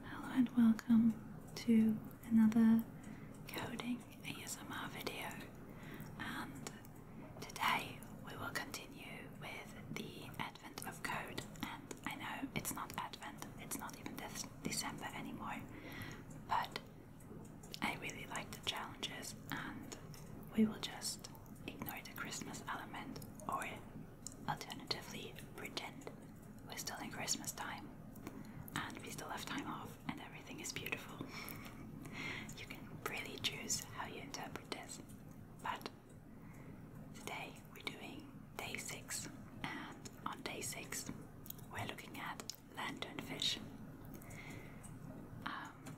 Hello and welcome to another coding ASMR video and today we will continue with the advent of code and I know it's not advent, it's not even December anymore but I really like the challenges and we will just ignore the Christmas element or Alternatively, pretend we're still in Christmas time and we still have time off and everything is beautiful. you can really choose how you interpret this. But today we're doing day six, and on day six, we're looking at lanternfish. Um,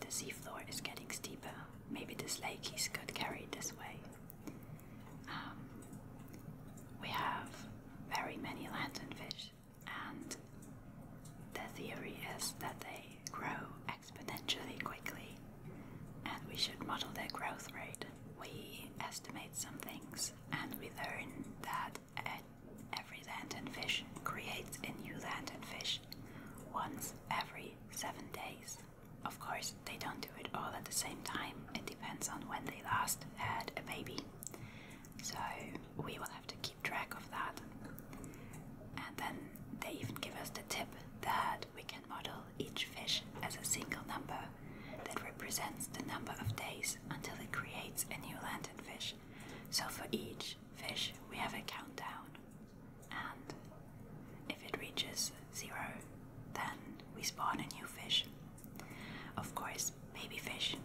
the seafloor is getting steeper. Maybe this lake is got carried this way. Um, we have very many lanternfish, and the theory is that they grow exponentially quickly, and we should model their growth rate. We estimate some things, and we learn that every lanternfish creates a new lanternfish once every seven days. Of course, they don't do it all at the same time, it depends on when they last had a baby. So, we will have to keep track of that. And then they even give us the tip that we can model each fish as a single number that represents the number of days until it creates a new lanternfish. So, for each fish, we have a countdown, and if it reaches zero, then we spawn a new fish. Of course, baby fish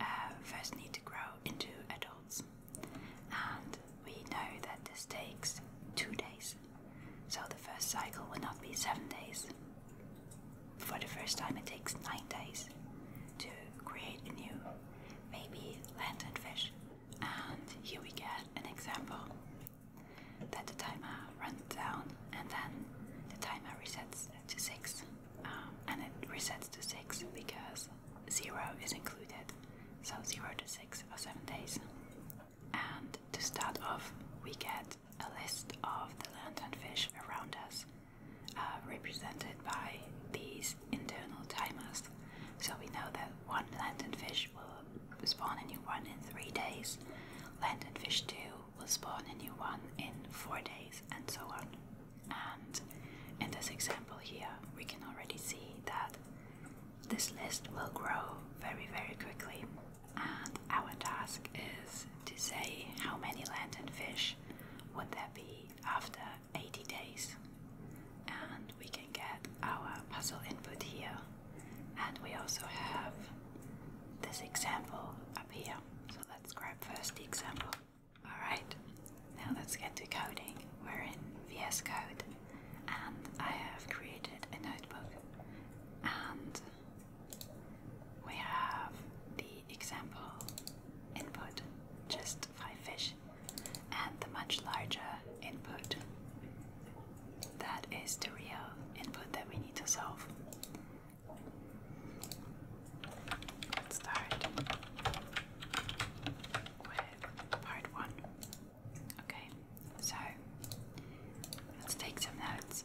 uh, first need to grow into adults, and we know that this takes two days, so the first cycle will not be seven days. For the first time, it takes nine days to create a new baby fish, and here we get an example that the timer runs down and then the timer resets to 6 uh, and it resets to 6 because 0 is included so 0 to 6 are 7 days and to start off we get a list of the lanternfish around us uh, represented by these internal timers so we know that one lanternfish will spawn a new one in three days, fish 2 will spawn a new one in four days, and so on. And in this example here, we can already see that this list will grow very, very quickly. And our task is to say how many fish would there be after 80 days. And we can get our puzzle input here and we also have this example up here. So let's grab first the example. Alright, now let's get to coding. We're in VS Code and I have created a notebook and we have the example input, just five fish, and the much larger input that is the real input that we need to solve. Let's start with part one. Okay, so let's take some notes.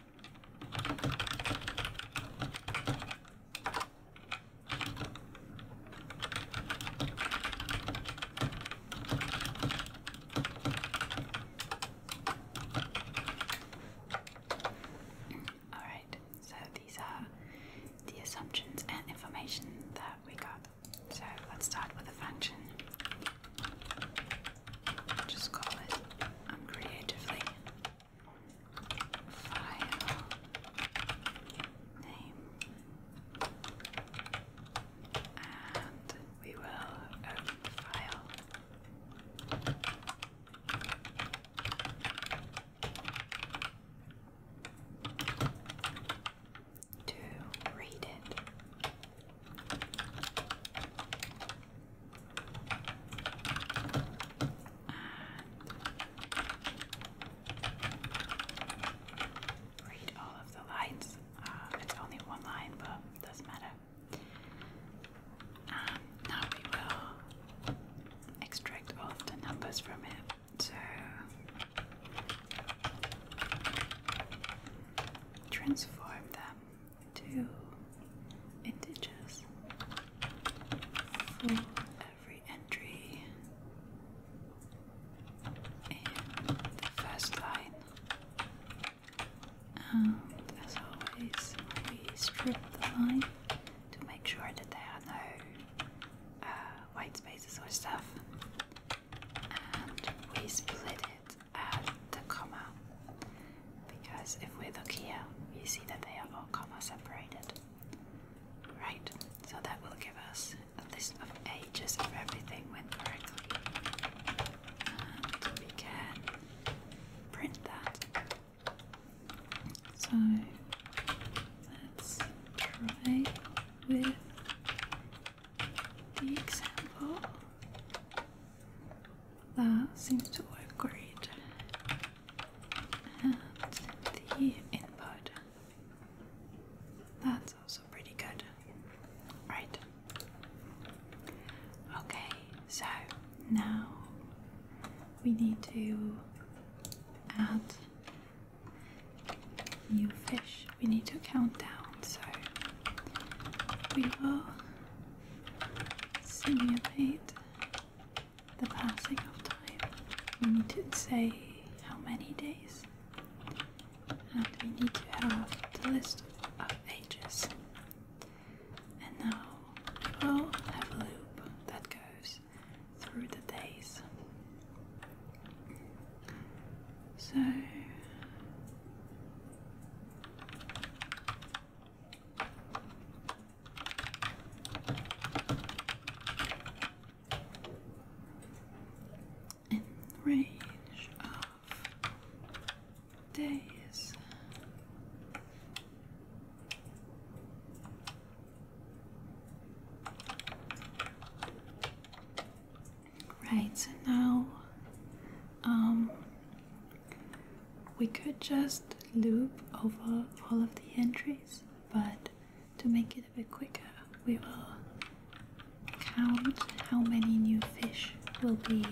All right, so these are the assumptions and information that we got. So let's start with the function just call it creatively file name and we will open the file to read it read all of the lines. Uh, it's only one line, but doesn't matter. Um, now we will extract all the numbers from it. So transform them two integers for every entry in the first line. And um, as always, we strip the line to make sure that there are no uh, white spaces or stuff. And we split it add um, the comma because if we look here, you see that they are all comma separated. Right, so that will give us a list of ages if everything went correctly. we can print that. So let's try with the example. That seems to work great. And the input. That's also pretty good. Right. Okay, so now we need to add new fish. We need to count down. So we will simulate the passing of time. We need to say how many days, and we need to have the list of ages. And now we will have a loop that goes through the days. So in range of days. Right, so now um, we could just loop over all of the entries, but to make it a bit quicker, we will count how many new fish will be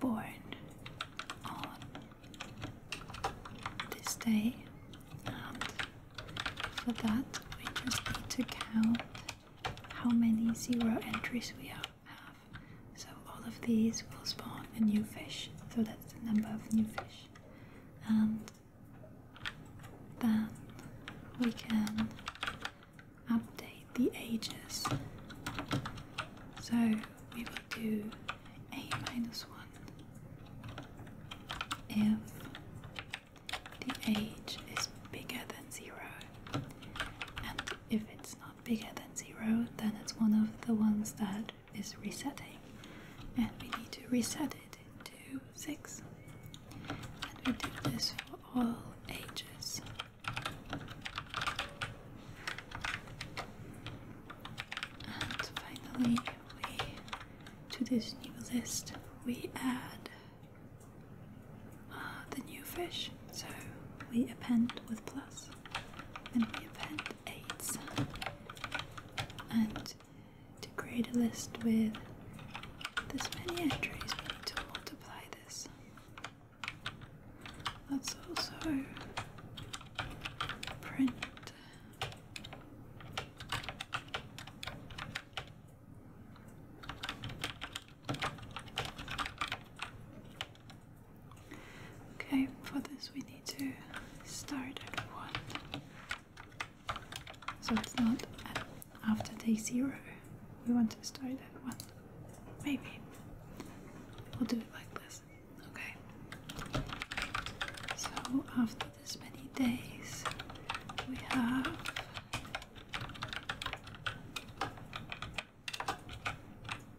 born on this day. And um, for that, we just need to count how many zero entries we have. So all of these will spawn a new fish, so that's the number of new fish. And um, then we can update the ages. So we will do a minus one if the age is bigger than zero, if it's not bigger than zero, then it's one of the ones that is resetting. And we need to reset it to six. And we do this for all ages. And finally, to this new list we add uh, the new fish. So we append with plus, then we append eights. And to create a list with this many entries, we need to multiply this. Let's also print Okay, for this we need to start at 1. So it's not after day 0. We want to start at 1. Maybe. We'll do it like this. Okay. So after this many days, we have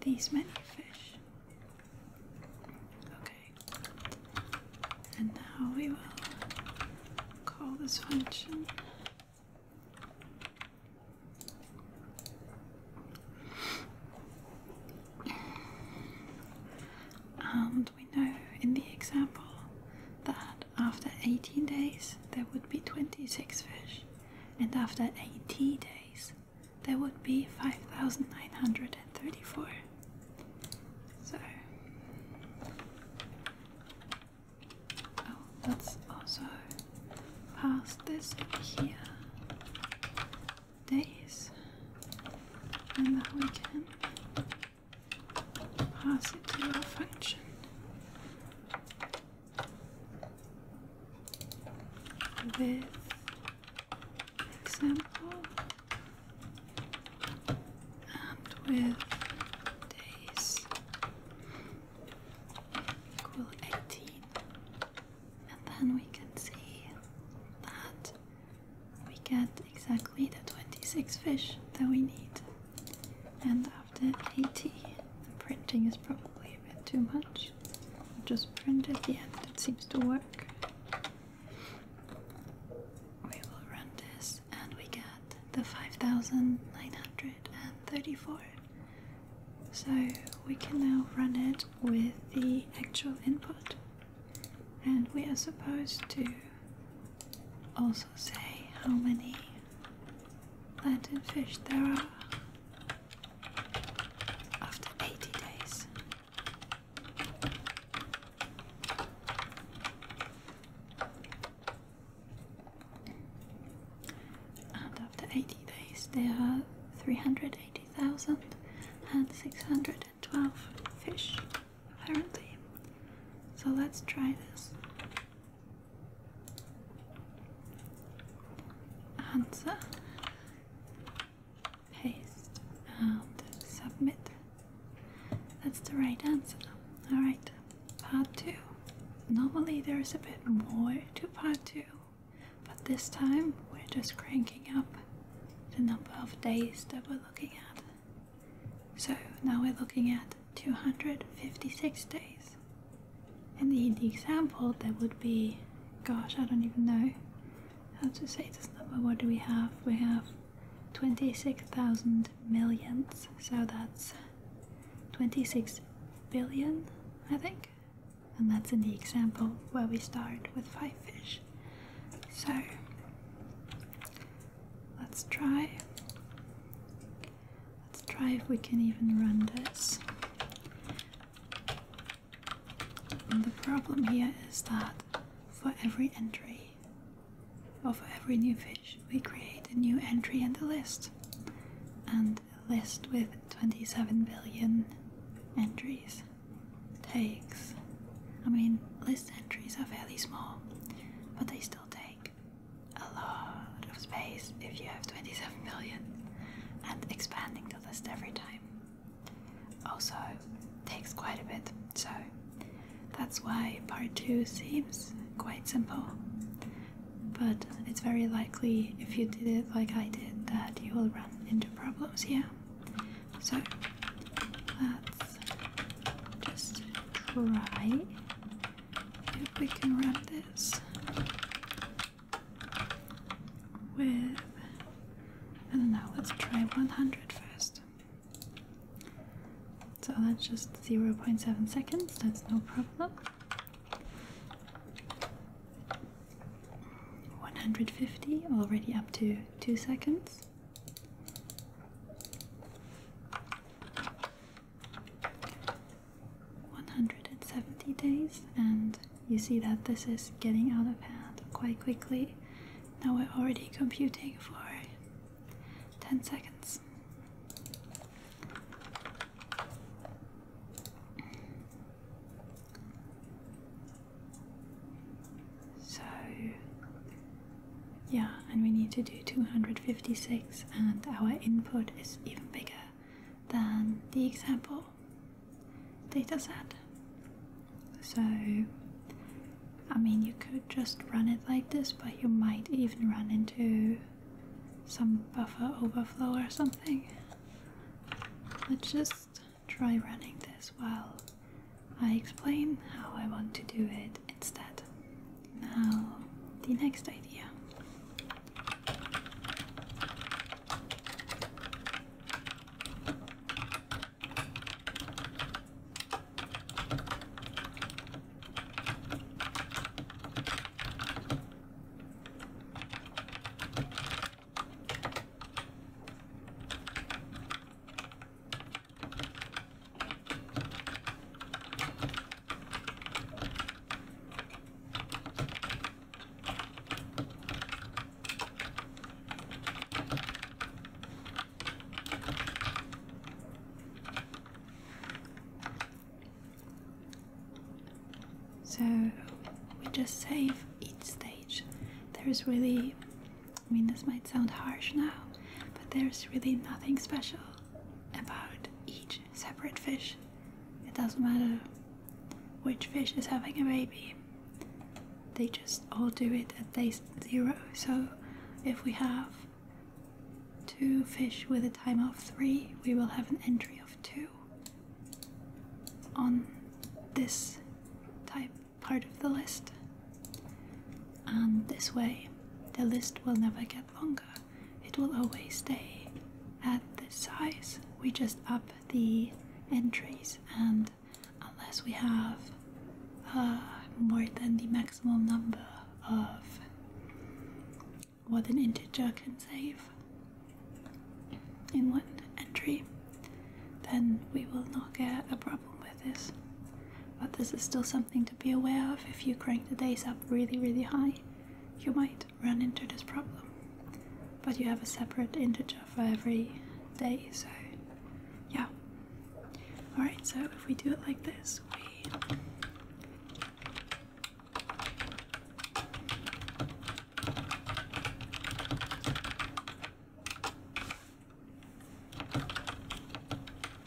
these many fish. Okay. And now we will call this function and we know in the example that after 18 days there would be 26 fish, and after 80 days there would be 5,934. So, oh, that's also past this here. Days, and now we can pass it to our function with example and with days equal 18 and then we can see that we get exactly the 26 fish that we need and after 80. The printing is probably a bit too much. I'll just print at the it seems to work. We will run this and we get the 5934. So we can now run it with the actual input. And we are supposed to also say how many Plantain fish there are after 80 days. And after 80 days, there are 380,000 and 612 fish, apparently. So let's try this answer, paste, and submit. That's the right answer. Alright, part 2. Normally there's a bit more to part 2, but this time we're just cranking up the number of days that we're looking at. So now we're looking at 256 days. In the, example there would be, gosh, I don't even know how to say this number. What do we have? We have 26,000 millions, so that's 26 billion, I think. And that's in the example where we start with five fish. So let's try Let's try if we can even run this. the problem here is that for every entry or for every new fish, we create a new entry in the list. And a list with 27 billion entries takes. I mean, list entries are fairly small, but they still take a lot of space if you have 27 million and expanding the list every time also takes quite a bit so that's why part 2 seems quite simple but it's very likely if you did it like I did that you will run into problems here so let's just try if we can wrap this with and now let's try 100 first. So that's just 0.7 seconds, that's no problem. 150, already up to 2 seconds. 170 days and you see that this is getting out of hand quite quickly. Now we're already computing for 10 seconds. So yeah, and we need to do 256, and our input is even bigger than the example dataset. So, I mean, you could just run it like this, but you might even run into some buffer overflow or something. Let's just try running this while I explain how I want to do it instead. Now, the next idea. So we just save each stage. There's really, I mean, this might sound harsh now, but there's really nothing special about each separate fish. It doesn't matter which fish is having a baby, they just all do it at day zero. So if we have two fish with a time of three, we will have an entry of two on this type part of the list. And this way, the list will never get longer it will always stay at this size. We just up the entries, and unless we have uh, more than the maximum number of what an integer can save in one entry, then we will not get a problem with this but this is still something to be aware of if you crank the days up really, really high. You might run into this problem, but you have a separate integer for every day, so yeah. Alright, so if we do it like this, we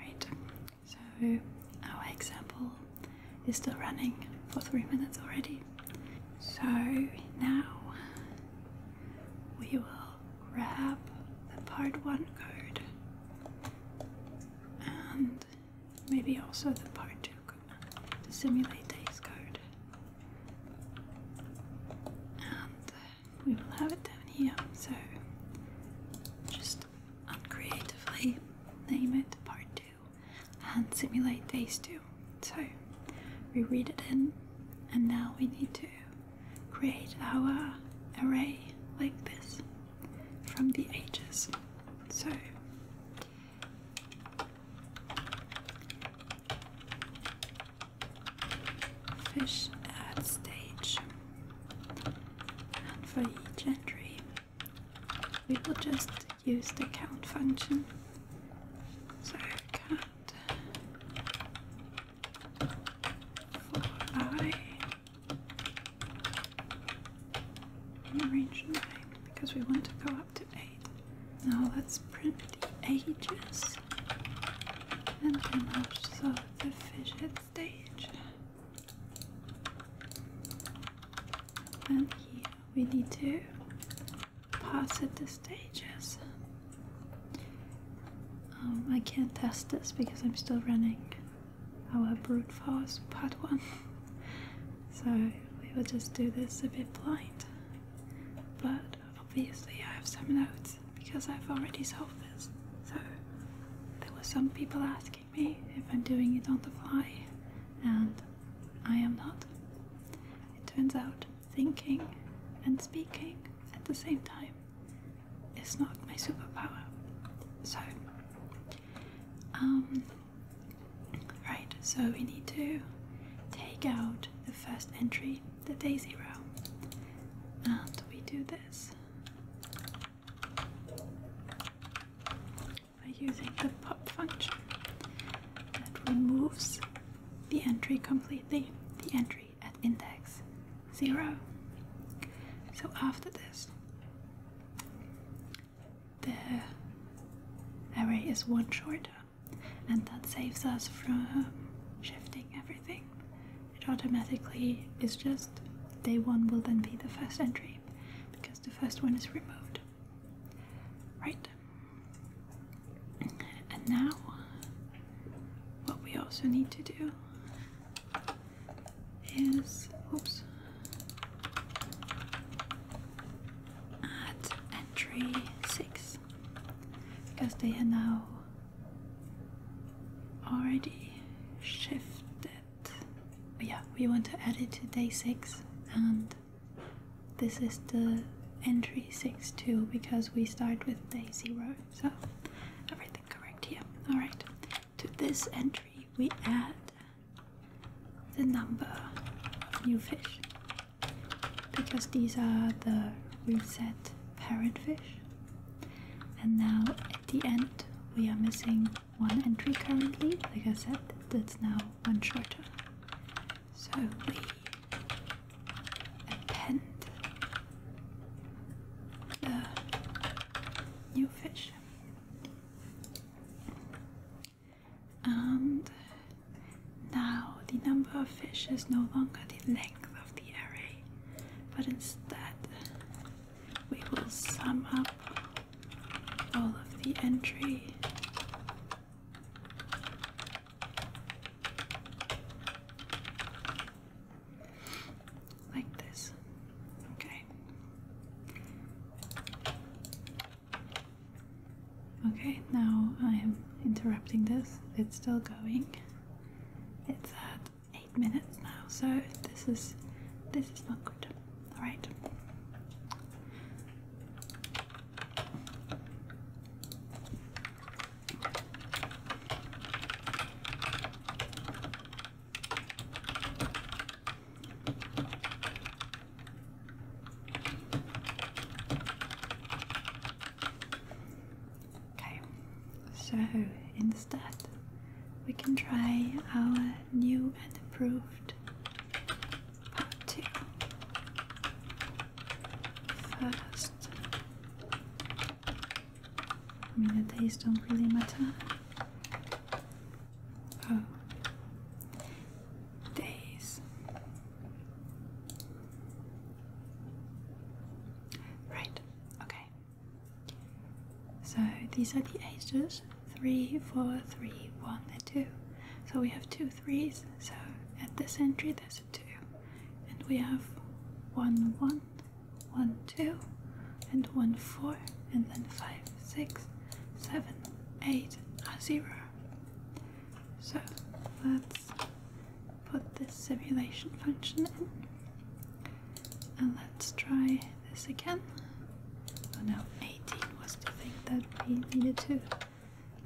Right, so our example is still running for three minutes already. So now we will grab the part 1 code and maybe also the part 2 code to simulate day's code. And we will have it down here. So just uncreatively name it part 2 and simulate these two. So we read it in, and now we need to create our array like this from the ages. So fish at stage and for each entry we will just use the count function. So count for i range 9 because we want to go up to 8. Now let's print the ages and then also the fidget stage. And here we need to positive stage, yes. Um, I can't test this because I'm still running our brute force part one. so we will just do this a bit blind. But obviously I have some notes because I've already solved this. So there were some people asking me if I'm doing it on the fly and I am not it turns out thinking and speaking at the same time is not my superpower. So, um, right, so we need to take out the first entry, the day zero, and we do this by using the pop function that removes the entry completely, the entry at index 0. So after this, the array is one shorter, and that saves us from shifting everything. It automatically is just day one will then be the first entry because the first one is removed. Right? And now, what we also need to do is, oops, at entry 6 because they are now already shifted. yeah, we want to add it to day 6 and this is the entry 6-2 because we start with day 0 so everything correct here alright to this entry we add the number of new fish because these are the reset parent fish and now at the end we are missing one entry currently like I said that's now one shorter so we append the new fish and now the number of fish is no longer the length of the array but instead we will sum up all of the entry like this. Okay. Okay, now I am interrupting this. It's still going. It's at eight minutes now, so this is this is not good. Alright. Okay, so instead we can try our new and approved party I mean, the days don't really matter. Oh, days. Right, okay. So these are the ages is and 2. So we have two threes. So at this entry there's a 2. And we have one, one, one, two, and 1, 4, and then 5, a 0. So let's put this simulation function in. And let's try this again. So oh, now 18 was the thing that we needed to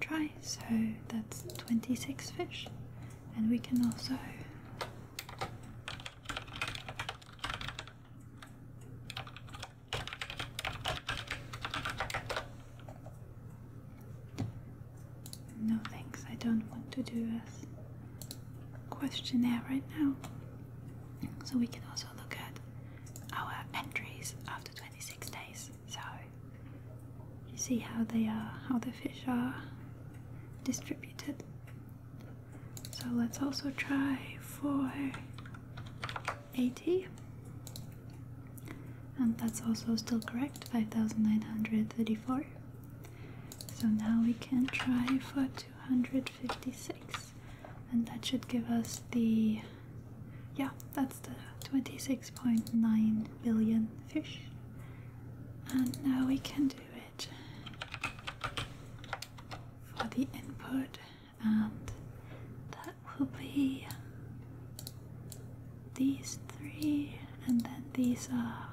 try, so that's 26 fish. And we can also no thanks, I don't want to do a questionnaire right now. So we can also look at our entries after 26 days. So you see how they are, how the fish are distributed. So let's also try for 80. And that's also still correct, 5934. So now we can try for 256 and that should give us the yeah that's the 26.9 billion fish and now we can do it for the input and that will be these three and then these are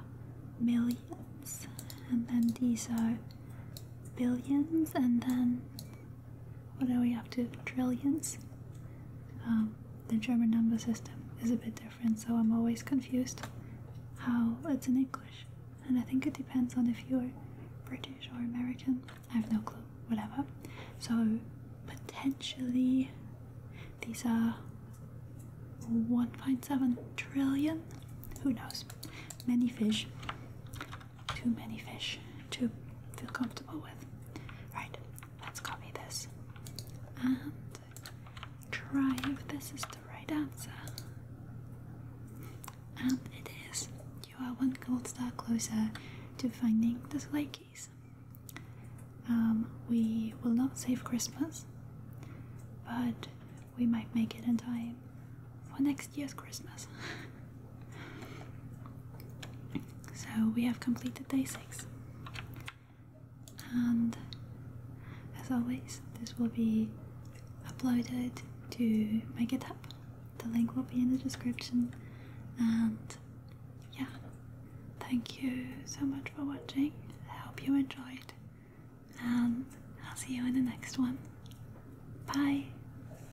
millions and then these are billions and then what are we up to? Trillions? Um, the German number system is a bit different, so I'm always confused how it's in English. And I think it depends on if you're British or American. I have no clue. Whatever. So potentially these are 1.7 trillion. Who knows? Many fish too many fish to feel comfortable with. Right, let's copy this and try if this is the right answer. And it is. You are one gold star closer to finding the sleigh keys. Um, we will not save Christmas, but we might make it in time for next Yes, Christmas. so we have completed day six. And as always, this will be uploaded to my GitHub. The link will be in the description. And yeah, thank you so much for watching. I hope you enjoyed. And I'll see you in the next one. Bye!